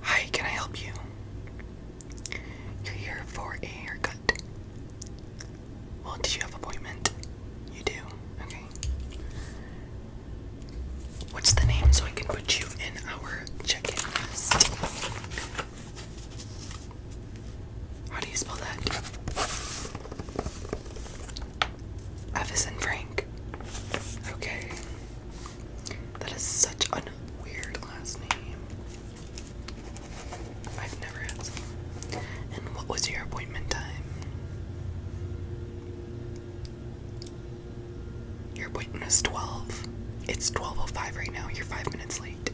Hi, can I help you? You're here for a haircut. Well, did you have appointment? You do. Okay. What's the name so I can put you in our check-in list? How do you spell that? F is Frank. Okay. That is such a weird last name. I've never had And what was your appointment time? Your appointment is 12. It's 12.05 right now. You're five minutes late.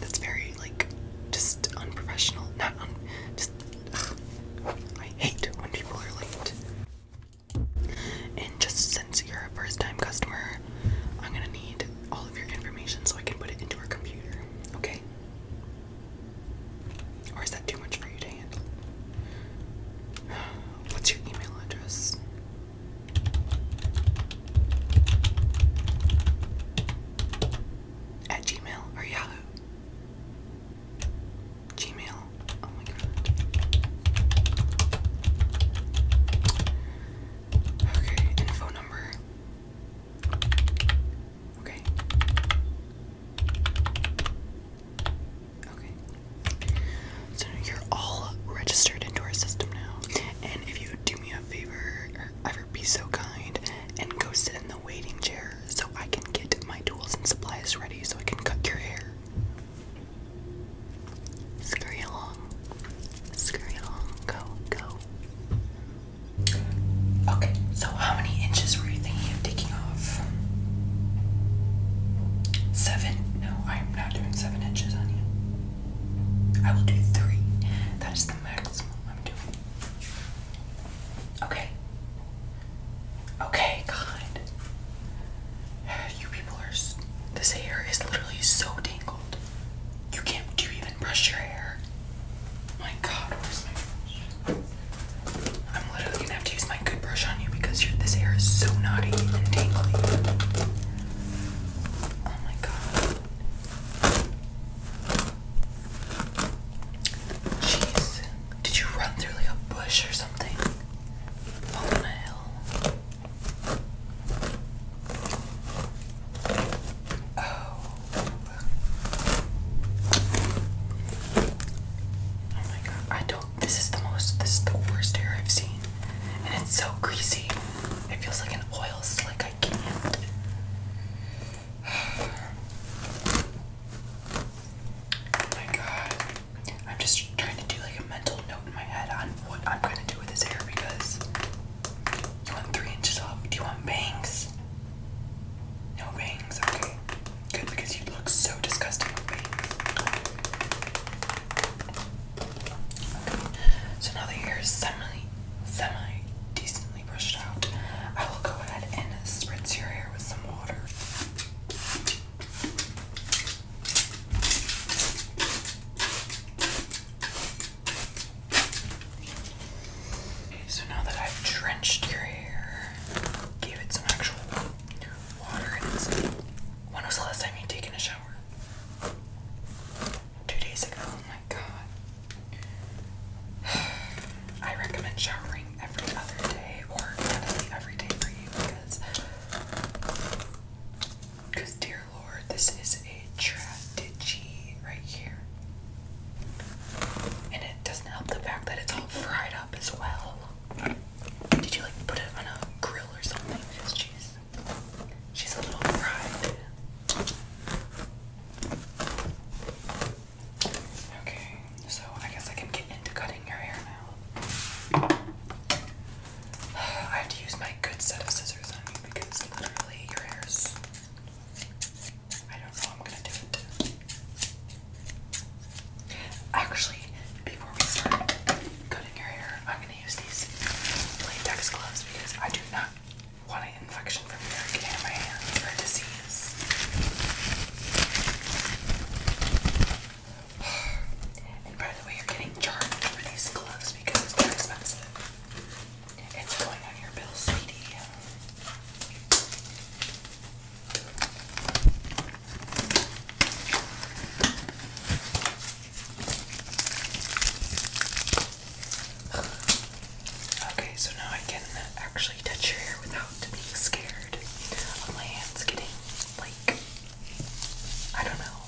That's very, like, just unprofessional. Not un. Just. I hate when people are late. And just since you're a first time customer, I'm gonna need all of your information so I can put it into our computer, okay? Or is that too much for you to handle? What's your email address? At Gmail or Yahoo? Gmail. Oh my god. Okay, and number. Okay. Okay. So you're all registered into our system now. And if you do me a favor ever be so kind and go sit in the waiting chair so I can get my tools and supplies ready so I can cut your hair. Scurry along. Scurry along. Go, go. Okay, so how many inches were you thinking of taking off? Seven? No, I'm I'm doing seven inches on I will do three. That is the maximum I'm doing. Okay. Okay, God. You people are. This hair is literally so tangled. You can't. Do even brush your hair? My God, where's my brush? I'm literally gonna have to use my good brush on you because your, this hair is so knotty and tangly. Oh my god. Jeez. Did you run through like a bush or something? Oh. oh. my god. I this is the most. This is the worst hair I've seen, and it's so greasy. It feels like an oil slick. I can't. Oh my god. I'm just trying to do like a mental note in my head on what I'm gonna do with this hair because you want three inches off. Do you want bangs? No bangs, okay. Good because you look so disgusting so now that you're semi, semi decently brushed out, I will go ahead and spritz your hair with some water. Okay, so now that I've drenched your hair, gave it some actual water, when was the last time you taken a shower? two days ago. Oh my god. I recommend showering every other day or honestly every day for you because because dear lord this is a tragedy right here. And it doesn't help the fact that it's all fried up as well. Did you like put it on a grill or something? she's she's a little fried. Okay, so I guess I can get into cutting your hair now. I have to use my good set of scissors on you because literally your hair's. I don't know I'm gonna do it. Actually, before we start cutting your hair, I'm gonna use these latex gloves because I do not want an infection from your getting in my disease. And by the way, you're getting charged for these gloves because they're expensive. It's going on your bill, sweetie. Okay, so now I can actually touch your hair without being scared my hands getting like I don't know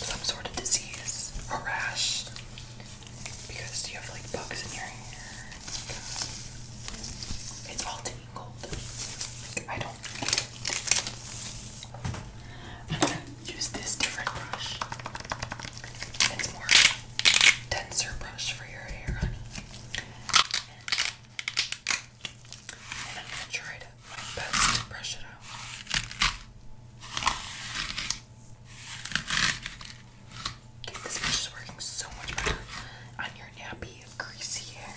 some sort of disease or rash because you have like bugs in your hair. It's all I am gonna use this different brush. It's more denser brush for your hair, honey. And I'm my best to brush it out. this brush is working so much better on your nappy, greasy hair.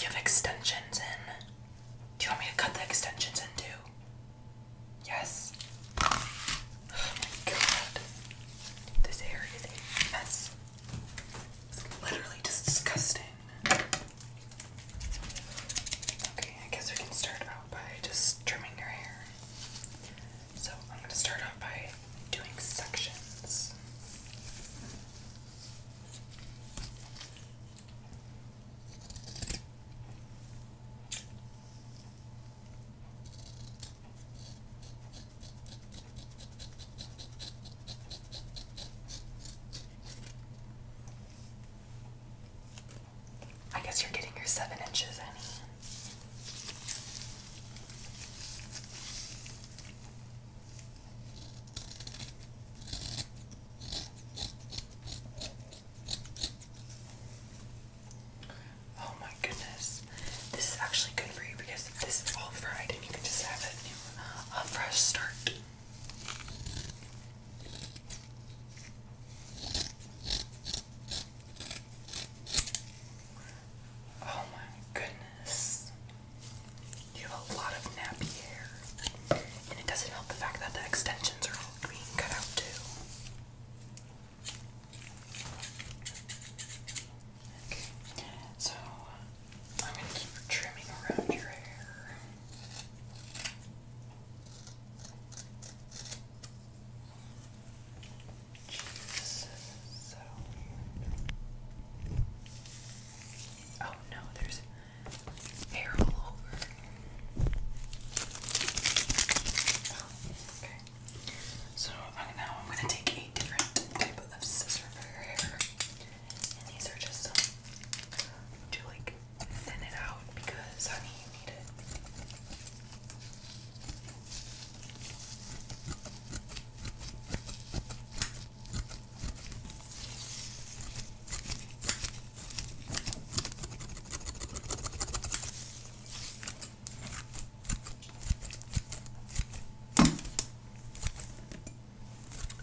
You have extensions in. Do you want me to cut the extensions into? Yes. Oh my god. This hair is a mess. It's literally disgusting. Okay, I guess we can start out by just trimming your hair. So I'm going to start out by doing sections. I guess you're getting your seven inches, Annie. Oh my goodness. This is actually good for you because this is all fried and you can just have it a fresh start. Oh my goodness. You have a lot of nappy hair. And it doesn't help the fact that the extensions are all being cut out too. Okay. So I'm gonna keep trimming around your hair. Jesus, so Oh no, there's hair all over. Oh, okay. So um, now I'm gonna take a different type of scissors for your hair, and these are just to like thin it out because honey, need it.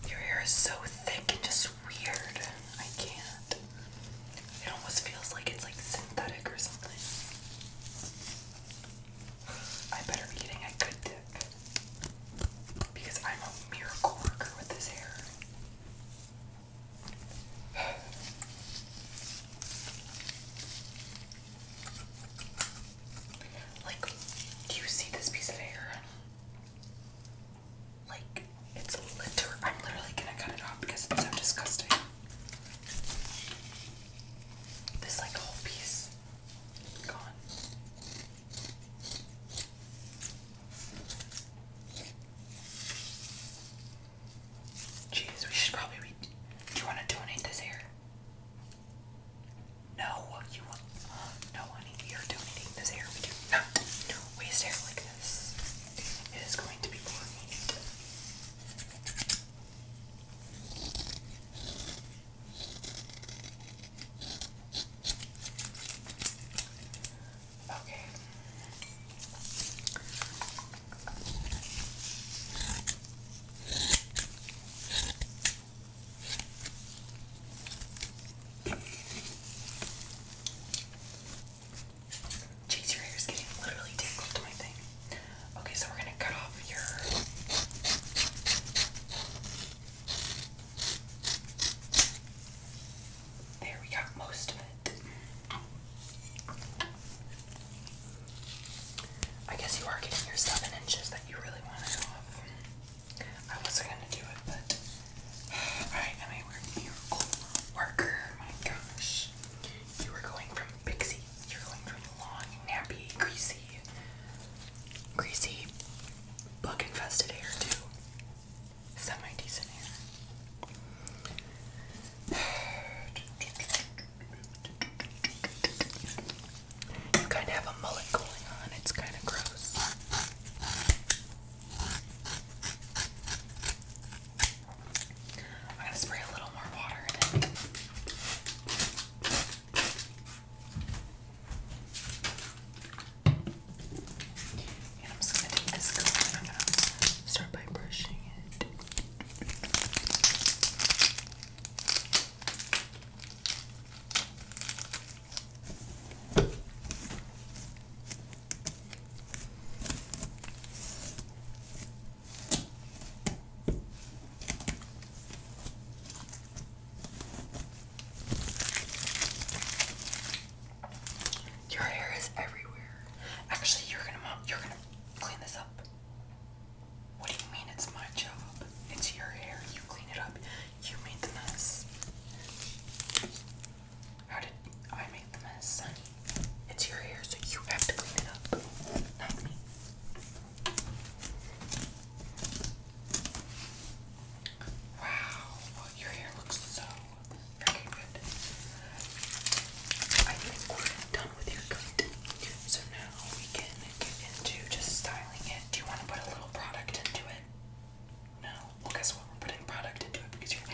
Your hair is so thick and just weird. I can't. It almost feels like it's like synthetic or something. I better be getting a good dip. Because I'm a miracle worker with this hair. Like, do you see this piece of hair? Like, it's litter. I'm literally gonna cut it off because it's so disgusting. This, like, whole piece gone. Jeez, we should probably be. Do you want to donate this hair? No, you want. No, honey, we are donating this hair. We do not waste hair like this. It is going to be more needed. Okay. Jeez, your hair's getting literally tangled to my thing. Okay, so we're gonna cut off your there we got most of it. I guess you are getting your seven inches that you really wanted off. I wasn't gonna do it, but I am a miracle worker. My gosh, you were going from pixie, you're going from long, nappy, greasy, greasy, bug-infested hair to semi-decent hair. You kind of have a mullet going on, it's kind of gross. I'm going to spray a little more water in it. And I'm just gonna take this comb and I'm gonna start by brushing it. Your hair is everywhere. Actually, you're gonna mop. you're gonna clean this up. What do you mean it's my job? It's your hair. You clean it up. You made the mess. How did I make the mess, honey? It's your hair, so you have to clean it up, not me. Wow, your hair looks so freaking good. I think we're done with your coat. So now we can get into just styling it. Do you want to put a little product into it? No? Well, guess what? We're putting product into it because your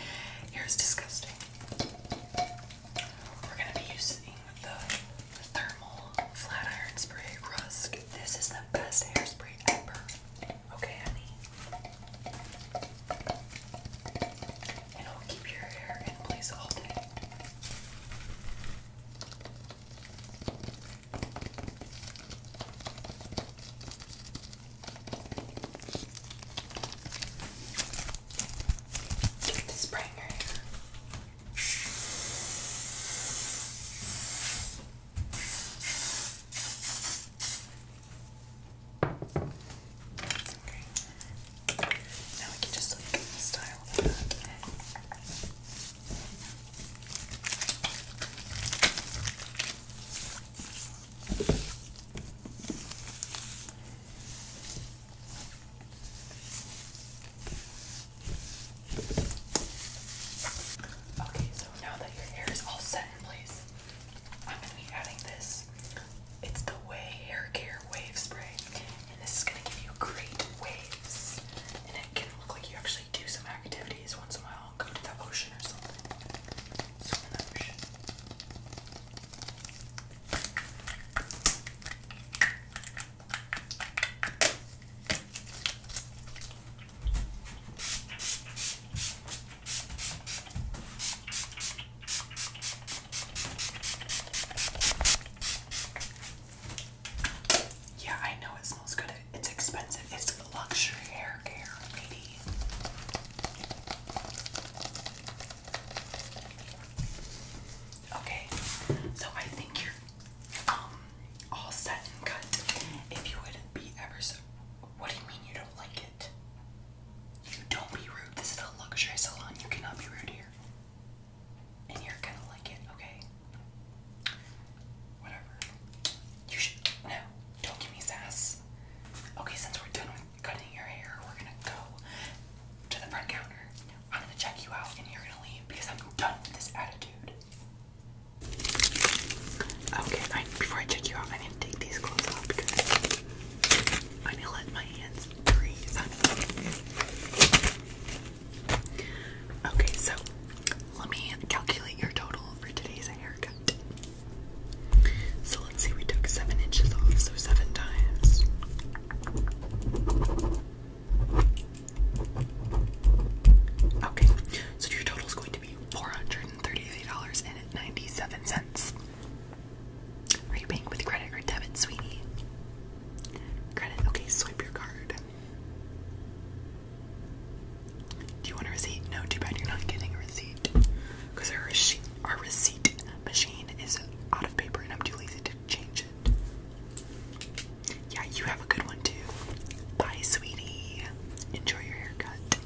hair is disgusting. We're going to be using the Thermal Flat Iron Spray Rusk. This is the best hairspray ever. Okay, honey? And will keep your hair in place all day. Get the spray your hair. Okay. Now we can just style that. Okay, so now that your hair is all set in place, I'm going to be adding this. It's the Way Hair Care Wave Spray. And this is going to give you great waves. And it can look like you actually do some activities once in a while. Go to the ocean or something. Swim in the ocean. Yeah, I know it smells good. It's expensive. It's luxury hair care, lady. Okay, so I think you're um, all set and cut. If you would be ever so, what do you mean you don't like it? You Don't be rude. This is a luxury salon. You cannot be rude here. And you're gonna like it, okay? Whatever. You should. No, don't give me sass. Okay, since we're done with cutting your hair, we're gonna go to the front counter. I'm gonna check you out and you're gonna leave because I'm done with this attitude. Okay, before I check you out, going to take these clothes off because I'm going to let my hands breathe. Okay, so let me calculate your total for today's haircut. So let's see, we took seven inches off, so seven times. Okay, so your total is going to be $433.97. Are you paying with credit or debit, sweetie? Credit. Okay, swipe your card. Do you want a receipt? No, too bad you're not getting a receipt. Because our, our receipt machine is out of paper and I'm too lazy to change it. Yeah, you have a good one too. Bye, sweetie. Enjoy your haircut.